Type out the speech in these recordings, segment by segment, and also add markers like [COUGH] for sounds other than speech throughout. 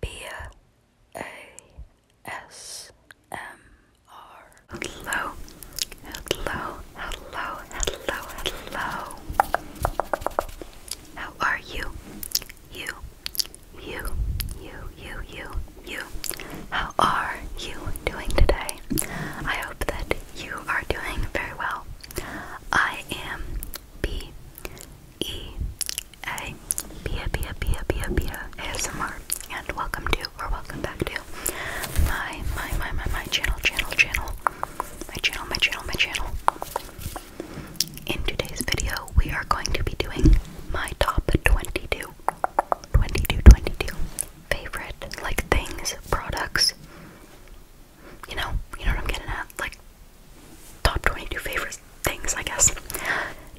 B-A-S-M-R. Hello, hello, hello, hello, hello. How are you? You, you, you, you, you, you. How are you doing today? I hope that you are doing very well. I am B E Hey, Pia, Pia, Pia, Pia, Pia ASMR, and welcome to, or welcome back to, my, my, my, my, my channel, channel, channel, my channel, my channel, my channel. In today's video, we are going to be doing my top 22, 22, 22 favorite, like, things, products, you know, you know what I'm getting at, like, top 22 favorite things, I guess,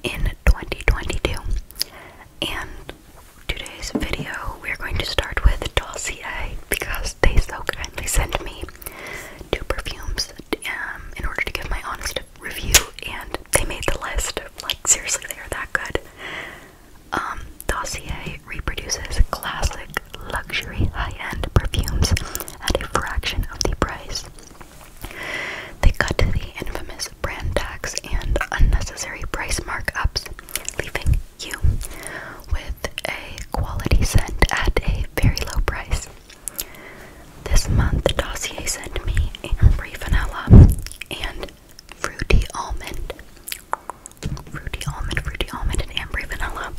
in 2022. And today's video, we're going to start with Dossier because they so kindly sent me two perfumes um, in order to give my honest review, and they made the list. Like, seriously, they are that good. Um, Dossier reproduces classic, luxury, high end perfumes at a fraction of the price. They cut the infamous brand tax and unnecessary price markups, leaving you with a quality scent at a very low price. This month, Dossier sent me Ambry Vanilla and Fruity Almond. Fruity Almond, Fruity Almond, and Ambry Vanilla.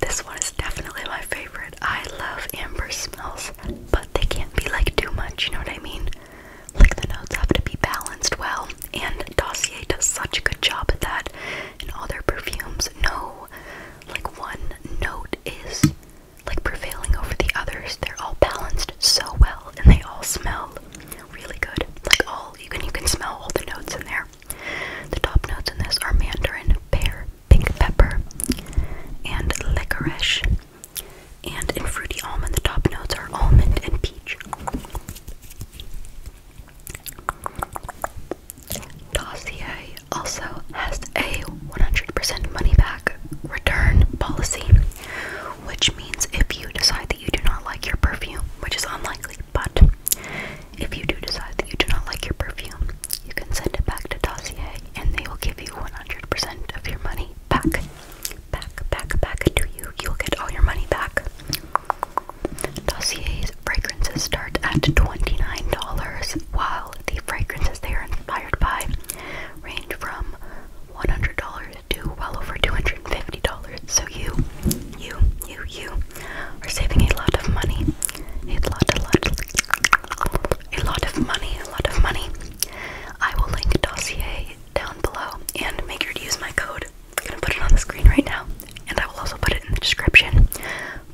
This one is definitely my favorite. I love amber smells, but they can't be like too much, you know what I mean? Like the notes have to be balanced well, and Dossier does such a good job at that in all their perfumes. No, like one note is like prevailing over the others. They're all balanced so well, and they all smell really good. Like all you can you can smell all the notes in there. The top notes in this are mandarin, pear, pink pepper, and licorice. And in fruity almond, the top notes are almond and peach. Dossier also has a 100% money back return policy, which means if you decide that you do not like your perfume, which is unlikely, but if you do decide that you do not like your perfume, you can send it back to Dossier and they will give you 100% of your money back. Back, back, back to you. You'll get all your money back. Dossier's fragrances start at $29, while the fragrances they are inspired by range from $100 to well over $250. So you, you, you, you are saving a lot of money. A lot, a lot, a lot of money, a lot of money. I will link dossier down below and make sure to use my code. I'm gonna put it on the screen right now, and I will also put it in the description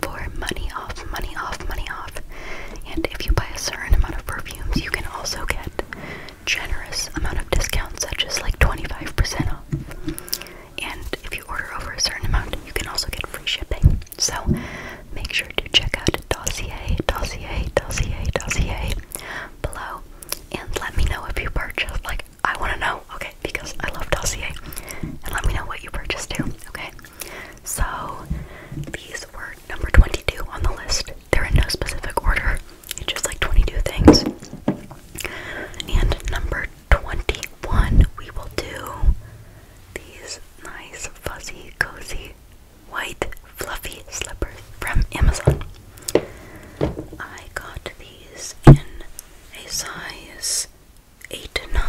for money off, money off, money off. And if you buy a certain amount of perfumes, you can also get generous amount of discounts, such as like 25% off. And if you order over a certain amount, you can also get free shipping. So make sure to check out Dossier, Dossier, Dossier, Dossier below and let me know if you purchased. Like, I want to know, okay, because I love Dossier. And let me know what you purchased too, okay? So these were number 22 on the list. They're in no specific order, it's just like 22 things. And number 21, we will do these nice, fuzzy, cozy, white, fluffy slippers from Amazon. I got these in a size 8 9, no,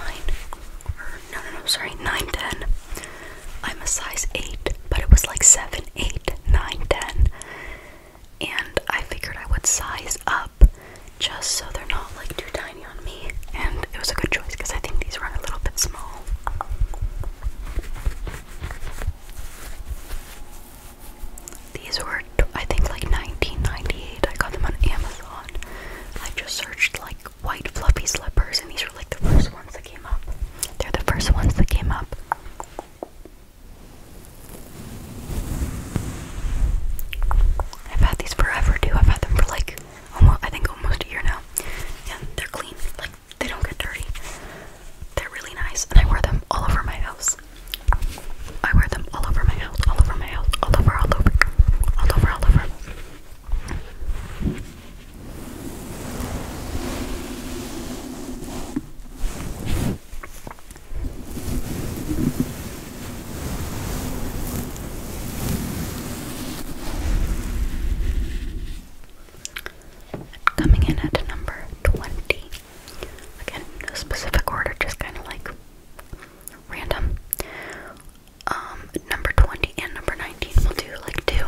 no, no, sorry, nine I'm a size 8, but it was like seven eight nine ten, And I figured I would size up just so they're not like too tiny and it was a good choice because I think these run a little bit small. These were, I think, like 1998. I got them on Amazon. I just searched like white fluffy slippers, and these were like the first ones that came up. They're the first ones that came up. I've had these forever too. I've had them for like almost I think almost a year now. Yeah, they're clean. Like they don't get dirty. They're really nice, and I wear them all over my house. I wear them all over my house, all over my house, all over, all over, all over, all over. Coming in at number 20. Again, no specific order, just kind of like random. Um, number 20 and number 19 we'll do like two.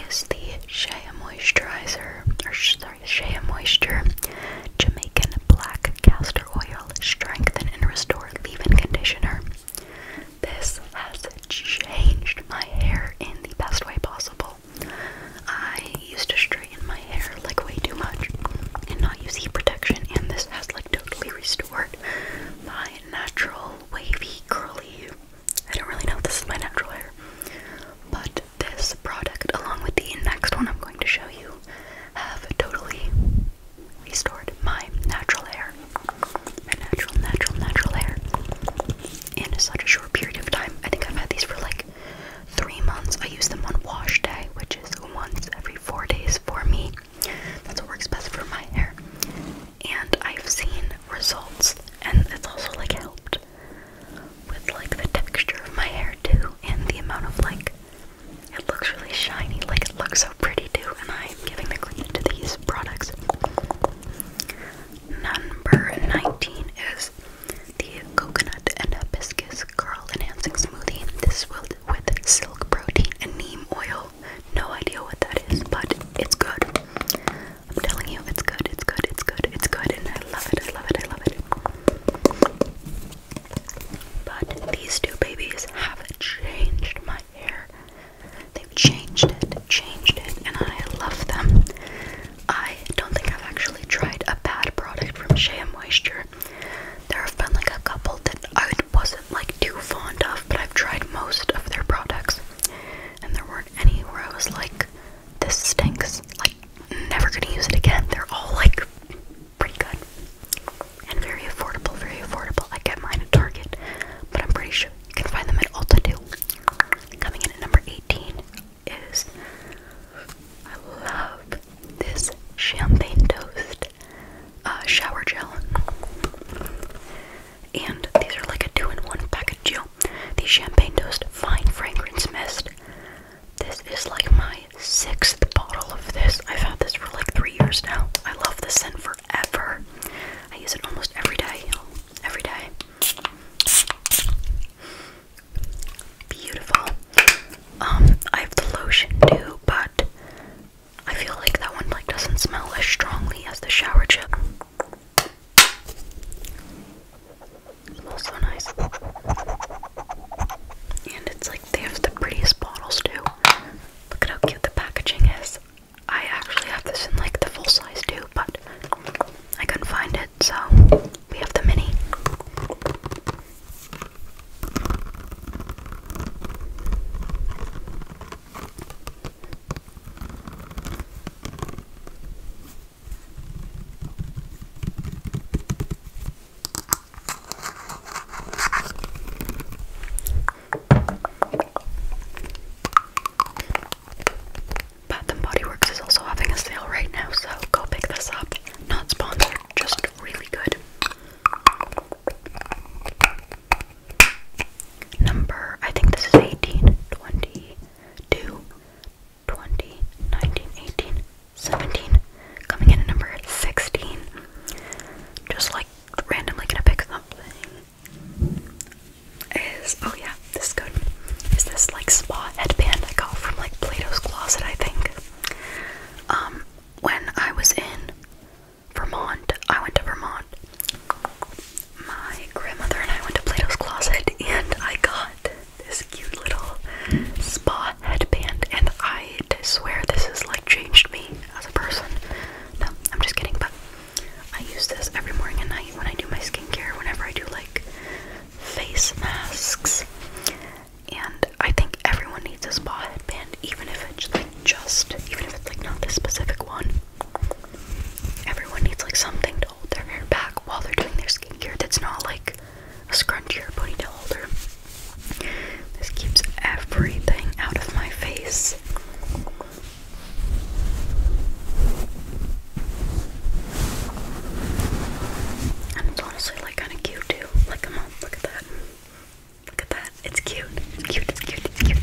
Is the Shea Moisturizer, or sorry, Shea Moisture Jamaican Black Castor Oil. Strengthen and Restore Leave-In Conditioner. This has changed my hair in the best way possible. I used to straighten my hair like way too much and not use heat protection, and this has like totally restored my natural wavy curly. I don't really know if this is my natural hair, but this product, along with the next one I'm going to show you, have totally restored my natural hair, my natural, natural, natural hair in such a short period of time. I think I've had these for like three months. I use them on wash day, which is once every four days for me. That's what works best for my hair. And I've seen results, and it's also like helped with like the texture of my hair too, and the amount of like it looks really shiny, like it looks so pretty too, and I'm giving the credit to these products. Number 19 is the coconut and hibiscus curl enhancing smoothie. This is with silk protein and neem oil. No idea what that is, but it's good. I'm telling you, it's good, it's good, it's good, it's good, and I love it, I love it, I love it. But these two babies have changed my hair. They've changed it, changed it, and I love them. I don't think I've actually tried a bad product from Shea Moisture. There have been like a couple that I wasn't like too fond of, but I've tried most of their products. And there weren't any where I was like, this stinks. Like, never gonna use it again. They're all like pretty good and very affordable, very affordable. I get mine at Target, but I'm pretty sure you can find them at Ulta too. Coming in at number 18 is I love this champagne toast uh, shower gel, and these are like a two-in-one package deal. The champagne toast fine fragrance mist. This is like my my sixth bottle of this. I've had this for like three years now. I love the scent forever. I use it almost every day. Every day. Beautiful. Um, I have the lotion too, but I feel like that one like doesn't smell as strongly as the shower gel. smells so nice. And it's like they have the prettiest bottles too. Look at how cute the packaging is. I actually have this in like the full size too, but I couldn't find it, so we have the mini. Bath and Body Works is also having a sale right now, so go pick this up. Not sponsored, just really good. Number, I think this is 18, 20, 19, 18, 17. Coming in at number 16. Just like randomly gonna pick something is oh yeah this is good is this like spa headband I got from like Plato's Closet I think um when I was in Vermont I went to Vermont my grandmother and I went to Plato's Closet and I got this cute little spa headband and I swear this has like changed me as a person. No, I'm just kidding, but I use this every morning and night when I do my skincare, whenever I do like face masks. And I think everyone needs a spa headband, even if it's like just, even if it's like not this specific one. Everyone needs like something to hold their hair back while they're doing their skincare that's not like a scrunchie or ponytail holder. This keeps everything out of my face. And it's honestly like kind of cute too. Like, come on, look at that. Look at that. It's cute. It's cute. It's cute. It's cute.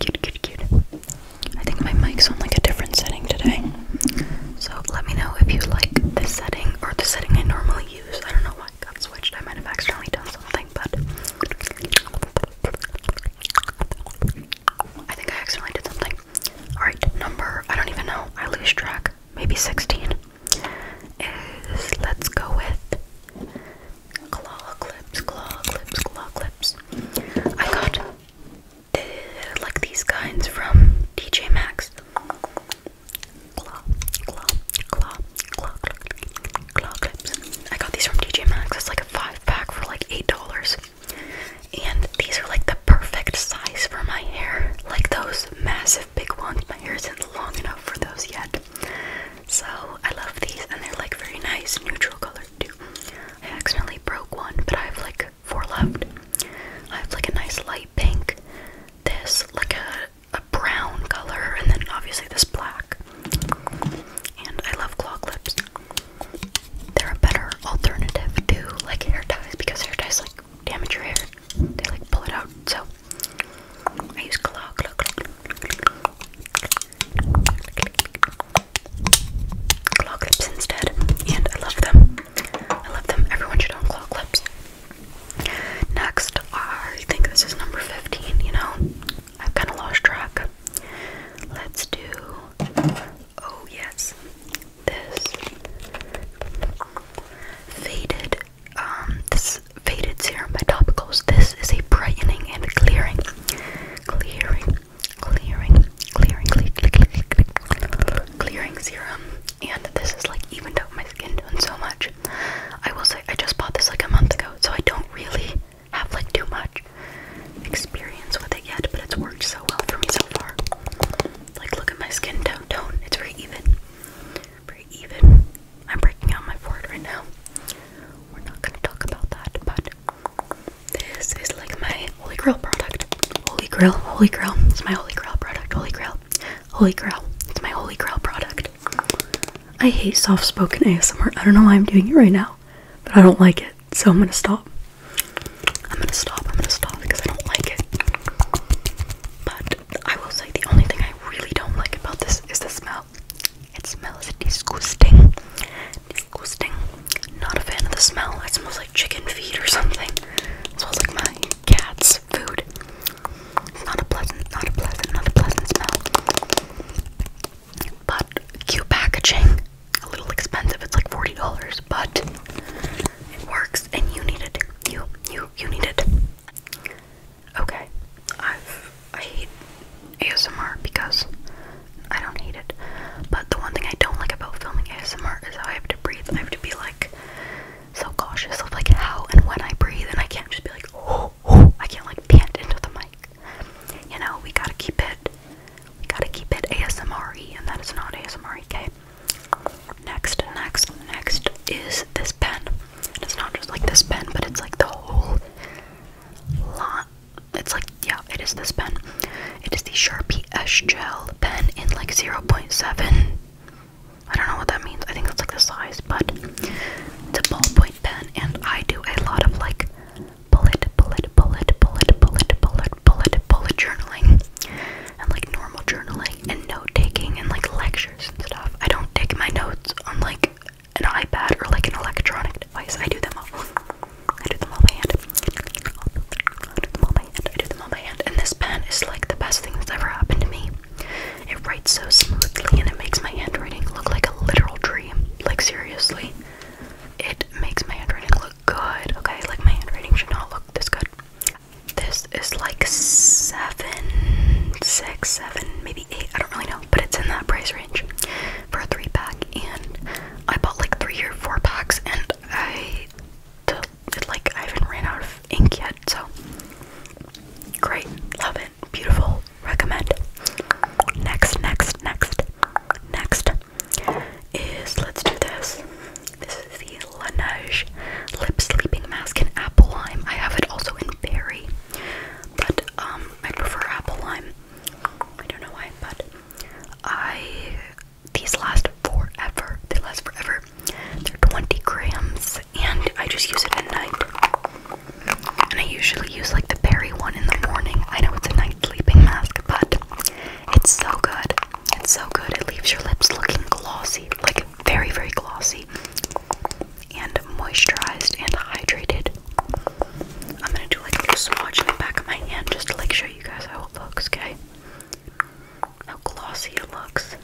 Cute, cute, cute. I think my mic's on like a different setting today. So let me know if you like this setting or the setting I normally use. I don't know mic got switched. I might have accidentally done something, but I think I accidentally did something. Alright, number, I don't even know, I lose track, maybe 16, is let's go with claw clips, claw clips, claw clips. I got eh, like these kinds from DJ Maxx. I got these from DJ Maxx. It's like a five pack for like eight dollars. And these are like the perfect size for my hair. Like those massive big ones. My hair isn't long enough for those yet. So I love these and they're like very nice neutral color too. I accidentally broke one, but I have like four left. I have like a nice light pink. This like a a brown color, and then obviously this black. And I love claw clips. They're a better alternative to like hair ties because hair ties like damage your hair. They like pull it out. So I use claw claw claw claw clips instead, and I love them. I love them. Everyone should own claw clips. Next, uh, I think this is number 15, you know? I've kind of lost track. Let's do. Oh, yes. This faded, um, this faded serum by Topicals. This is a brightening and clearing, clearing, clearing, clearing, clearing, clearing, clearing serum and this is like evened out my skin tone so much. I will say I just bought this like a month ago, so I don't really have like too much experience with it yet, but it's worked so well for me so far. Like look at my skin tone tone. It's very even. Very even. I'm breaking out my board right now. We're not gonna talk about that, but this is like my holy grail product. Holy grail, holy grail. It's my holy grail product, holy grail. Holy Grail. It's my Holy Grail product. I hate soft spoken ASMR. I don't know why I'm doing it right now, but I don't like it. So I'm gonna stop. I'm gonna stop. I'm gonna stop because I don't like it. But I will say the only thing I really don't like about this is the smell. It smells disgusting. Disgusting. Not a fan of the smell. It smells like chicken feed or something. It smells like my cat's food. It's not a pleasant, not a pleasant, not a pleasant smell. But cute packaging. A little expensive. It's like forty dollars, but it works, and you need it. You, you, you need it. Okay, i I hate ASMR because I don't hate it, but the one thing I don't like about filming ASMR is how I have to breathe. I have to be like so cautious of like how and when I breathe, and I can't just be like, oh, [GASPS] I can't like pant into the mic. You know, we gotta keep it, we gotta keep it ASMR, and that is not ASMR. Okay. Next, next, next is this pen. it's not just like this pen, but it's like the whole lot. It's like yeah, it is this pen. It is the Sharpie S Gel pen in like 0.7 I don't know what that means. I think that's like the size, but it's a ballpoint pen, and I do a lot of like bullet, bullet, bullet, bullet, bullet, bullet, bullet, bullet journaling, and like normal journaling and note taking and like lectures and stuff. I don't take my notes on like an iPad or like an electronic device. I do them all. I do them all by hand. I do them all by hand. I do them all by hand. And this pen is like the best thing that's ever happened to me. It writes so smoothly and it makes my handwriting look like a literal dream. Like, seriously. It makes my handwriting look good, okay? Like, my handwriting should not look this good. This is like seven, six, seven, maybe eight. I don't really know, but it's in that price range for a three pack. And I bought like three or four packs, and I to like I haven't ran out of ink yet, so great, love it, beautiful, recommend. Next, next, next, next is let's do this. This is the Laneige Lip Sleeping Mask in Apple Lime. I have it also in berry, but um I prefer apple lime. I don't know why, but I these last forever. They last forever. They're 20 grams, and I just use it at night. And I usually use like the berry one in the morning. I know it's a night sleeping mask, but it's so good. It's so good. It leaves your lips looking glossy, like very, very glossy, and moisturized and hydrated. I'm gonna do like a little swatch in the back of my hand just to like show you guys how it looks, okay? how glossy it looks.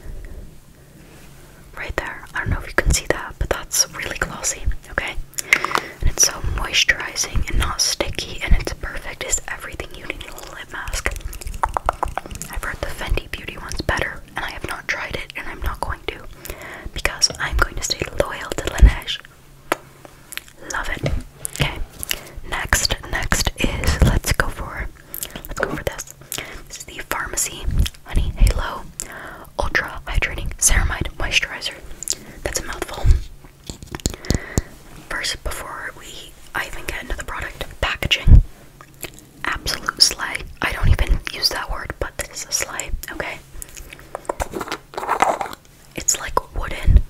Right there. I don't know if you can see that, but that's really glossy, okay? And it's so moisturizing and not sticky, and it's perfect. It's everything you need in a lip mask. I've heard the Fendi Beauty one's better, and I have not tried it, and I'm not going to because I'm going to stay loyal to Laneige. Love it. Okay. Next, next is let's go for Let's go over this. This is the Pharmacy Honey Halo Ultra Hydrating Ceramide Moisturizer. That's a mouthful. First, before we I even get into the product, packaging. Absolute slay. I don't even use that word, but this is a slay, okay? It's like wooden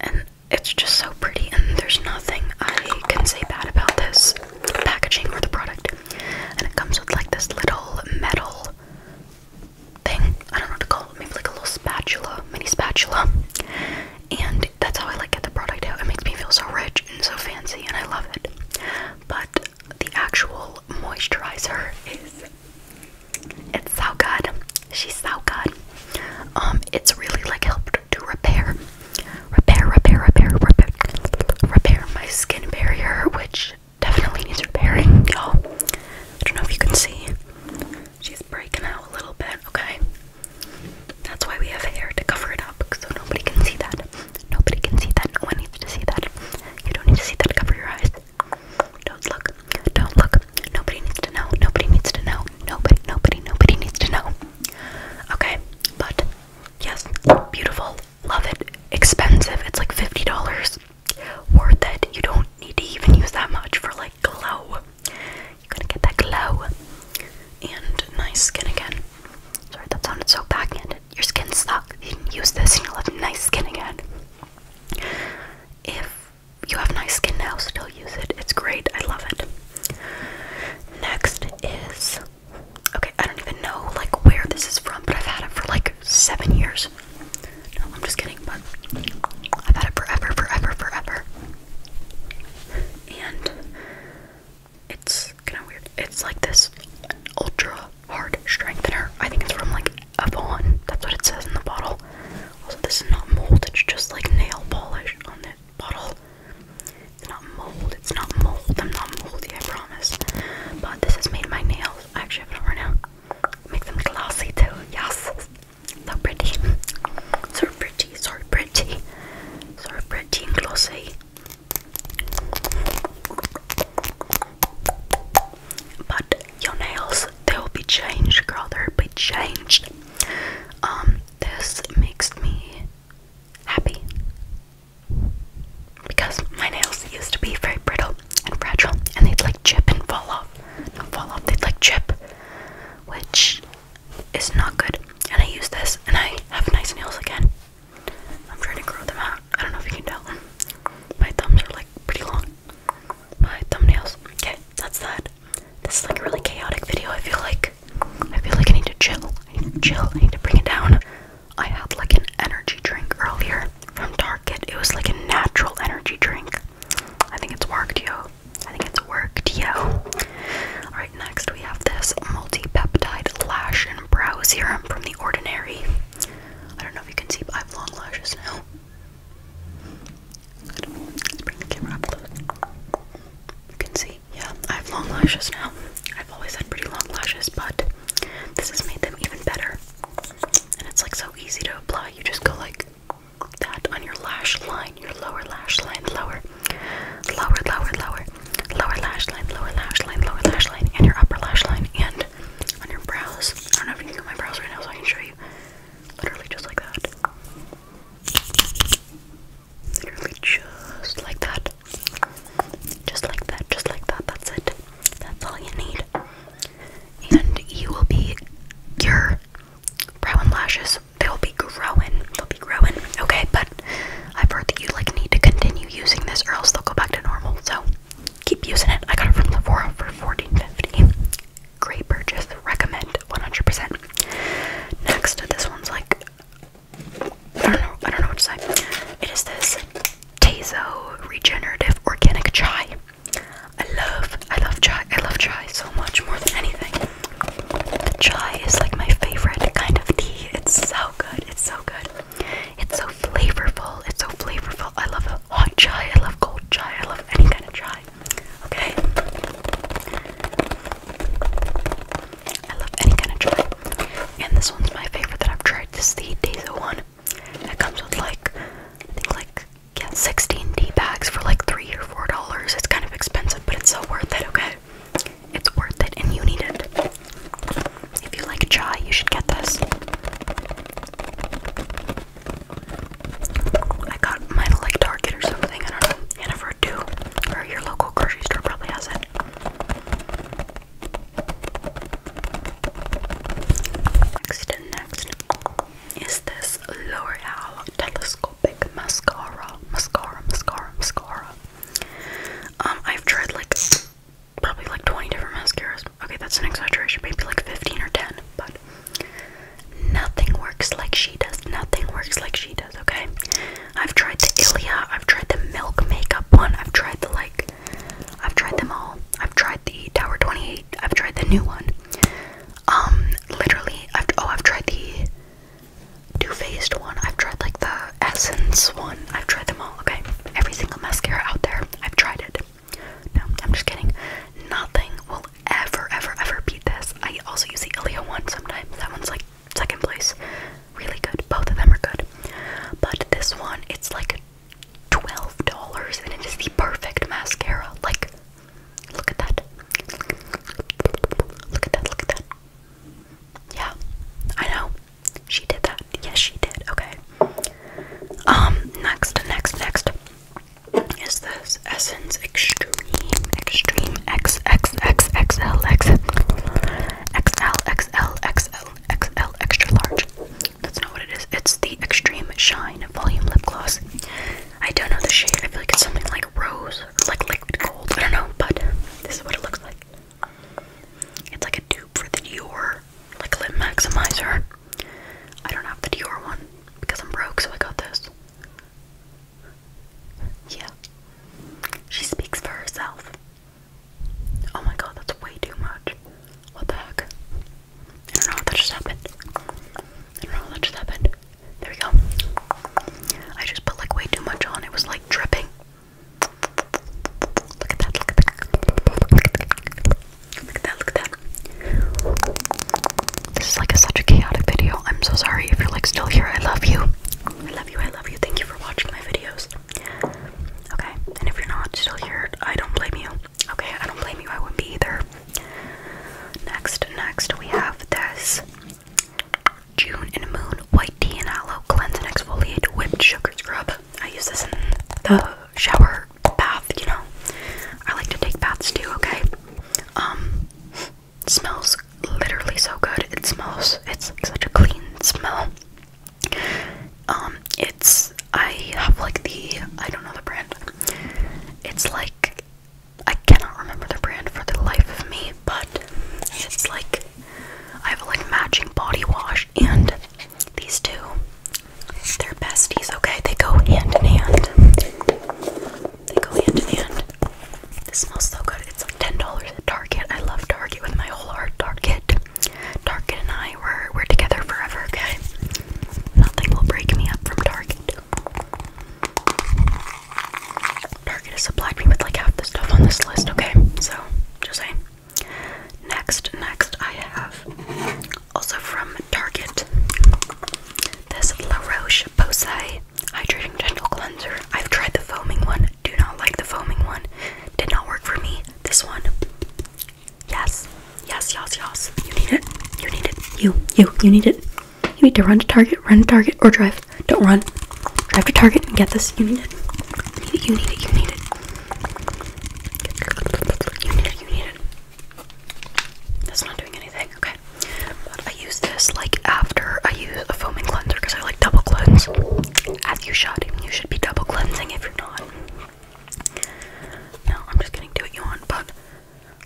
and it's just so pretty and there's nothing I can say bad about this packaging or the product. And it comes with like this little metal thing. I don't know what to call it. Maybe like a little spatula, mini spatula. And that's how I like get the product out. It makes me feel so rich and so fancy and I love it. But the actual moisturizer is it's so good. She's so good. Um, it's really like helped to repair repair, repair, repair, repair, repair my skin barrier, which definitely needs repairing, y'all. I don't know if you can see. She's breaking out a little bit, okay? That's why we have hair to cover it up, so nobody can see that. Nobody can see that. No one needs to see that. You don't need to see that. Cover your eyes. Don't look. Don't look. Nobody needs to know. Nobody needs to know. Nobody, nobody, nobody needs to know. Okay, but Yes, beautiful. Love it. Expensive. It's like $50. Worth it. You don't need to even use that much for like glow. You're gonna get that glow. And nice skin again. Sorry, that sounded so backhanded. Your skin stuck. You can use this and you'll have nice skin again. If you have nice skin now, still use it. It's great. I love it. Next is Okay, I don't even know like where this is from, but I've had it for like seven years. No, I'm just kidding, but I've had it forever, forever, forever. And it's kinda weird. It's like this ultra hard strengthener. I think it's from like Avon. That's what it says in the bottle. Also, this is not mold, it's just like nail polish on there bottle. It's not mold. It's not mold. I'm not moldy, I promise. But this has made my nails. I actually have it on right now. Make them glossy too. Yes. So pretty. [LAUGHS] So pretty. So pretty. So pretty and glossy. But your nails, they will be changed, girl. They'll be changed. Um, this makes me happy. Because my nails used to be very brittle and fragile, and they'd like chip and fall off. Not fall off, they'd like chip, which is not good. And I use this, and I have nice nails again. I'm trying to grow them out. I don't know if you can tell. My thumbs are like pretty long. My thumbnails. Okay, that's that. This is like a really chaotic video. I feel like I feel like I need to chill. I need to chill. I need to bring it down. I had like an energy drink earlier from Target. It was like a natural energy drink. I think it's worked, yo. I think it's worked, yo. Alright, next we have this multi-peptide lash and brow serum from The Ordinary. I don't know if you can see, but I have long lashes now. bring the camera up close. You can see. Yeah, I have long lashes now. I've always had pretty long lashes, but this has made them even better. And it's like so easy to apply. You just go like that on your lash line, your lower lash line, lower, lower, lower, lower, lower lash line, lower lash line, lower lash line, and your upper lash line, and on your brows. I don't know if you can do my brows right now, so I can show you. Literally just like that. Literally just like that. Just like that, just like that. That's it. That's all you need. And you will be your brow and lashes. They will be growing. They'll be growing. Okay, but I've heard that you like need to continue using this or else they'll go back to normal. So keep using it. I got it from Sephora for fourteen fifty. Great purchase. Recommend 100%. Next, this one's like I don't know. I don't know what to say. It is this Tazo regenerative organic chai. I love, I love chai. I love chai so much more than anything. chai is like my favorite kind of tea. It's so good. It's so good. It's so flavorful. It's so flavorful. I love hot chai. I love cold chai. I love any kind of chai. Okay. I love any kind of tripe. And this one's my favorite that I've tried. This is the Daiso one. It comes with like, I think like, yeah, 16 D bags for like 3 or $4. It's kind of expensive, but it's so worth it, okay? It's worth it and you need it. If you like chai, you should get this. I got mine at like Target or something, I don't know. And too. Or your local grocery store probably has it. Next, next is this L'Oreal Telescopic Mascara. Mascara, mascara, mascara. Um, I've tried like probably like 20 different mascaras. Okay, that's an exaggeration, maybe like 15 or 10, but nothing works like she does. Nothing works like she does, okay? I've tried the Ilia, I've tried the Milk Makeup one, I've tried the like, I've tried them all. I've tried the Tower 28, I've tried the new one. Um, literally, I've, oh, I've tried the Too Faced one, I've tried like the Essence one, I've tried them all, okay? Every single mascara out there, I've tried it. No, I'm just kidding. Nothing will ever, ever, ever beat this. I also use the Ilia one sometimes. That one's like second place. Really good. Both of them are good. But this one, it's like $12 and it is the perfect mascara. Like, look at that. Look at that, look at that. Yeah, I know. She did that. Yes, she did. Okay. Um, next, next, next is this Essence Extreme, Extreme X extra large. That's not what it is. It's the Extreme Shine Volume Lip Gloss. I don't know the shade. I feel like it's something like rose, or like liquid gold. I don't know, but this is what it looks like. It's like a dupe for the Dior, like lip maximizer. I don't have the Dior one because I'm broke, so I got this. Yeah. She speaks for herself. Oh my god, that's way too much. What the heck? I don't know how just happened. I don't know how just happened. There we go. I just put like way too much on. It was like dripping. Look at that, look at that. Look at that, look at that. This is like such a chaotic video. I'm so sorry if you're like still here. I love you. I love you, I love you. Thank you for watching my videos. Okay, and if you're not still here, I don't blame you. Okay, I don't blame you, I wouldn't be either. Next, next, we have this June and Moon White Tea and Aloe Cleanse and Exfoliate Whipped Sugar Scrub. I use this in the shower bath, you know. I like to take baths too, okay? Um, it smells literally so good. It smells it's such a clean smell. Um, it's I have like the I don't know the brand. It's like I cannot remember the brand for the life of me, but it's like I have a like matching body wash and these two. They're besties, okay? They go hand in hand. They go hand in hand. This smells so good. It's like ten dollars at Target. I love Target with my whole heart. Target, Target, and I were we're together forever. Okay, nothing will break me up from Target. Target has supplied me with like half the stuff on this list. Okay, so just say? Next, next I have also from Target this La Roche Posay Hydrating Gentle Cleanser. I've tried the foaming one. Do not like the foaming one. Did not work for me. This one. Yes. Yes, yes, yes. You need it. You need it. You, you, you need it. You need to run to Target, run to Target, or drive. Don't run. Drive to Target and get this. You need it. You need it. You need it. You need it. You need it. That's not doing anything. Okay. I use this like after I use a foaming cleanser because I like double cleanse. As you should, you should be double cleansing if you're not. No, I'm just kidding. Do what you want, but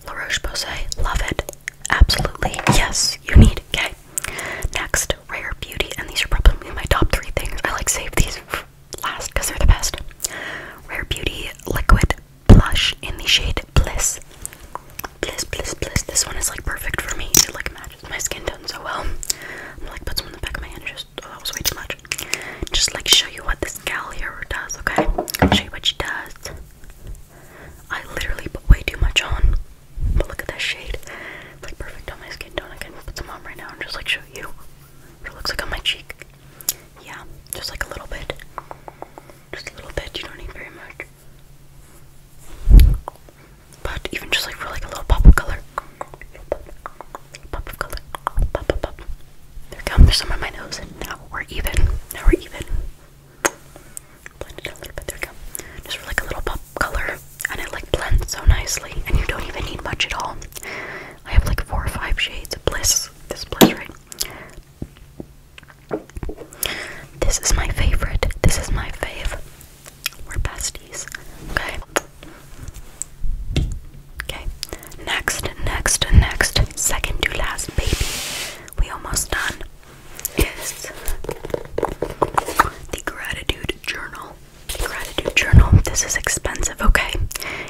La Roche Posay, love it. Absolutely, yes, you need. Okay. Next, Rare Beauty, and these are probably my top three things. I like save these last because they're the best. Rare Beauty liquid blush in the shade Bliss. Bliss, bliss, bliss. This one is like perfect for me. It like matches my skin tone so well. I'm like put some in the back of my hand. Just oh, that was way too much. Just like show you what this gal here does. Okay, I'll show you what she does. I literally put way too much on. But look at that shade. It's like perfect on my skin tone. I can put some on right now and just like show you what it looks like on my cheek. Yeah, just like a little bit. Just a little bit. You don't need very much. But even just like for like a little pop of color. Pop of color. Pop, pop, pop. There we go. There's some on my nose. now we're even. Now we're even. Blend it a little bit. There we go. Just for like a little pop color. And it like blends so nicely. And you don't even need much at all. I have like four or five shades of bliss. This is bliss, right? This is my favorite. This is my fave. We're besties. Okay. Okay. Next, next, next, second to last, baby. We almost done. Is the gratitude journal. gratitude journal. This is expensive, okay?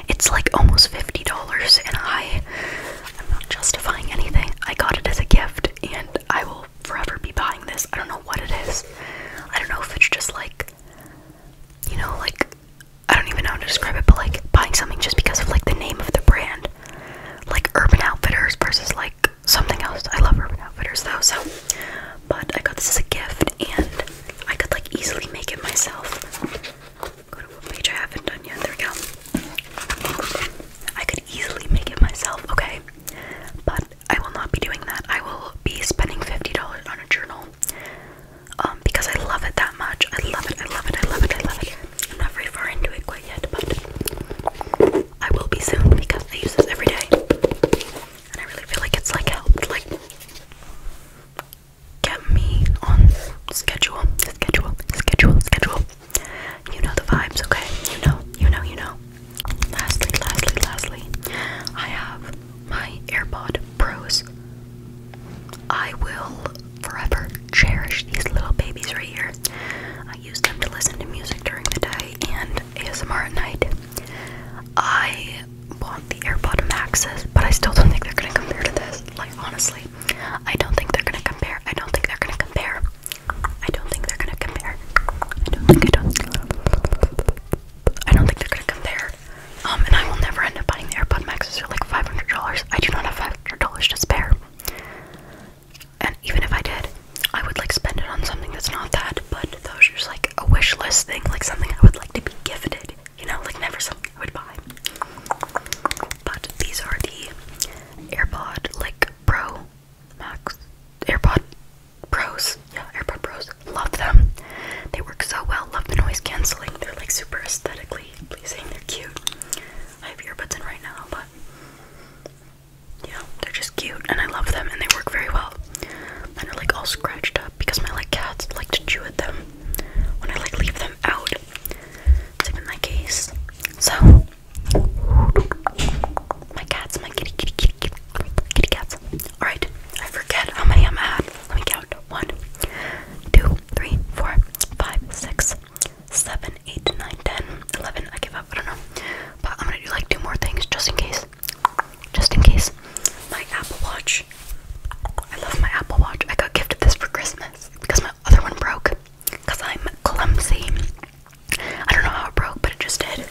It's like almost $50 and I I'm not justifying anything. I got it as a gift and I will forever be buying this. I don't know what it is. I don't know if it's just like, you know, like, I don't even know how to describe it, but like buying something just because of like the name of the brand. Like Urban Outfitters versus like something else. I love Urban Outfitters though, so. But I got this as a gift and I could like easily make it myself. Go to what page I haven't done yet. There we go. I could easily make it myself, okay? But I will not be doing that. I will be spending $50 on a journal um, because I love it that much. I love it, I love it, I love it, I love it. I'm not very far into it quite yet, but I will be soon because I use this every day. And I really feel like it's like helped, like get me on schedule, schedule, schedule, schedule. You know the vibes, okay? You know, you know, you know. Lastly, lastly, lastly, I have my AirPod Pros. I will forever cherish these little babies right here. I use them to listen to music during the day and ASMR at night. I want the AirPod Maxes, but I still don't think they're gonna compare to this. Like honestly, I don't think they're gonna compare. I don't think they're gonna compare. I don't think they're gonna compare. I don't think I don't. I don't think they're gonna compare. Um, and I will never end up buying the AirPod Maxes for like five hundred dollars. I do not have five hundred dollars to spare. And even if I did, I would like spend it on something that's not that. But those are just like a wish list thing, like something I would like to be gifted. You know, like never something I would buy. But these are the AirPod like Pro Max AirPod Pros. Yeah, AirPod Pros. Love them. They work so well. Love the noise canceling. They're like super aesthetically pleasing. They're cute. I have earbuds in right now, but yeah, they're just cute and I love them and they work very well. And Mine are like all scratched up because my like cats like to chew at them when I like leave them out. It's in my case. So my cats, my kitty, kitty, kitty, kitty, kitty cats. Alright, I forget how many I'm at. Let me count. One, two, three, four, five, six, seven, eight, nine, ten, eleven. I give up, I don't know. But I'm gonna do like two more things just in case. Just in case. My Apple Watch. I love my Apple Watch. I got gifted this for Christmas because my other one broke. Because I'm clumsy. I don't know how it broke, but it just did.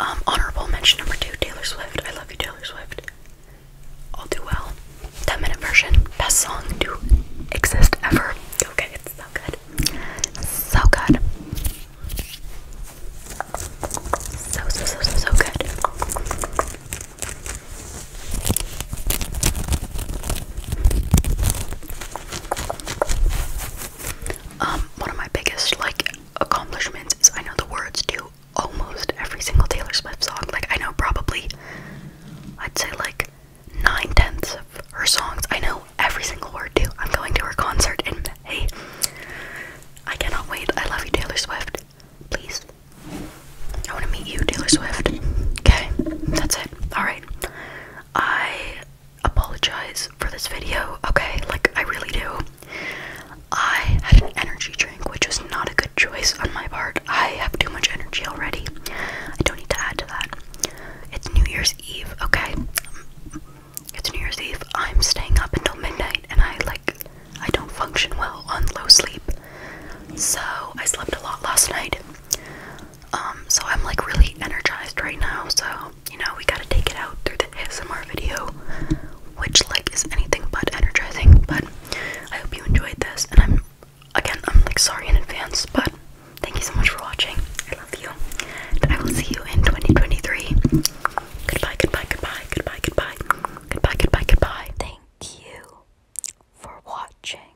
Um, honorable mention number two, Taylor Swift. I love you, Taylor Swift. All too well. 10 minute version. Best song to exist ever. Okay, it's so good. So good. so, so, so, so good. Um, one of my biggest like accomplishments is I know the words to almost every single Taylor Swift song. Like I know probably I'd say like nine tenths of her songs. I know every single word to. I'm going to her concert in May. I cannot wait. I love you, Taylor Swift. Please. I want to meet you, Taylor Swift. Okay, that's it. Alright. I apologize for this video, okay? Like, I really do. I had an energy drink, which was not a good choice on my part. I have too much energy already. I don't need to add to that. It's New Year's Eve, okay? It's New Year's Eve. I'm staying up until midnight, and I, like, I don't function well on low sleep. So, I slept a lot last night. Um, so I'm like really energized right now, so you know, we gotta take it out through the ASMR video, which like is anything but energizing, but I hope you enjoyed this and I'm again I'm like sorry in advance, but thank you so much for watching. I love you. And I will see you in 2023. Goodbye, goodbye, goodbye, goodbye, goodbye, goodbye, goodbye, goodbye. Thank you for watching.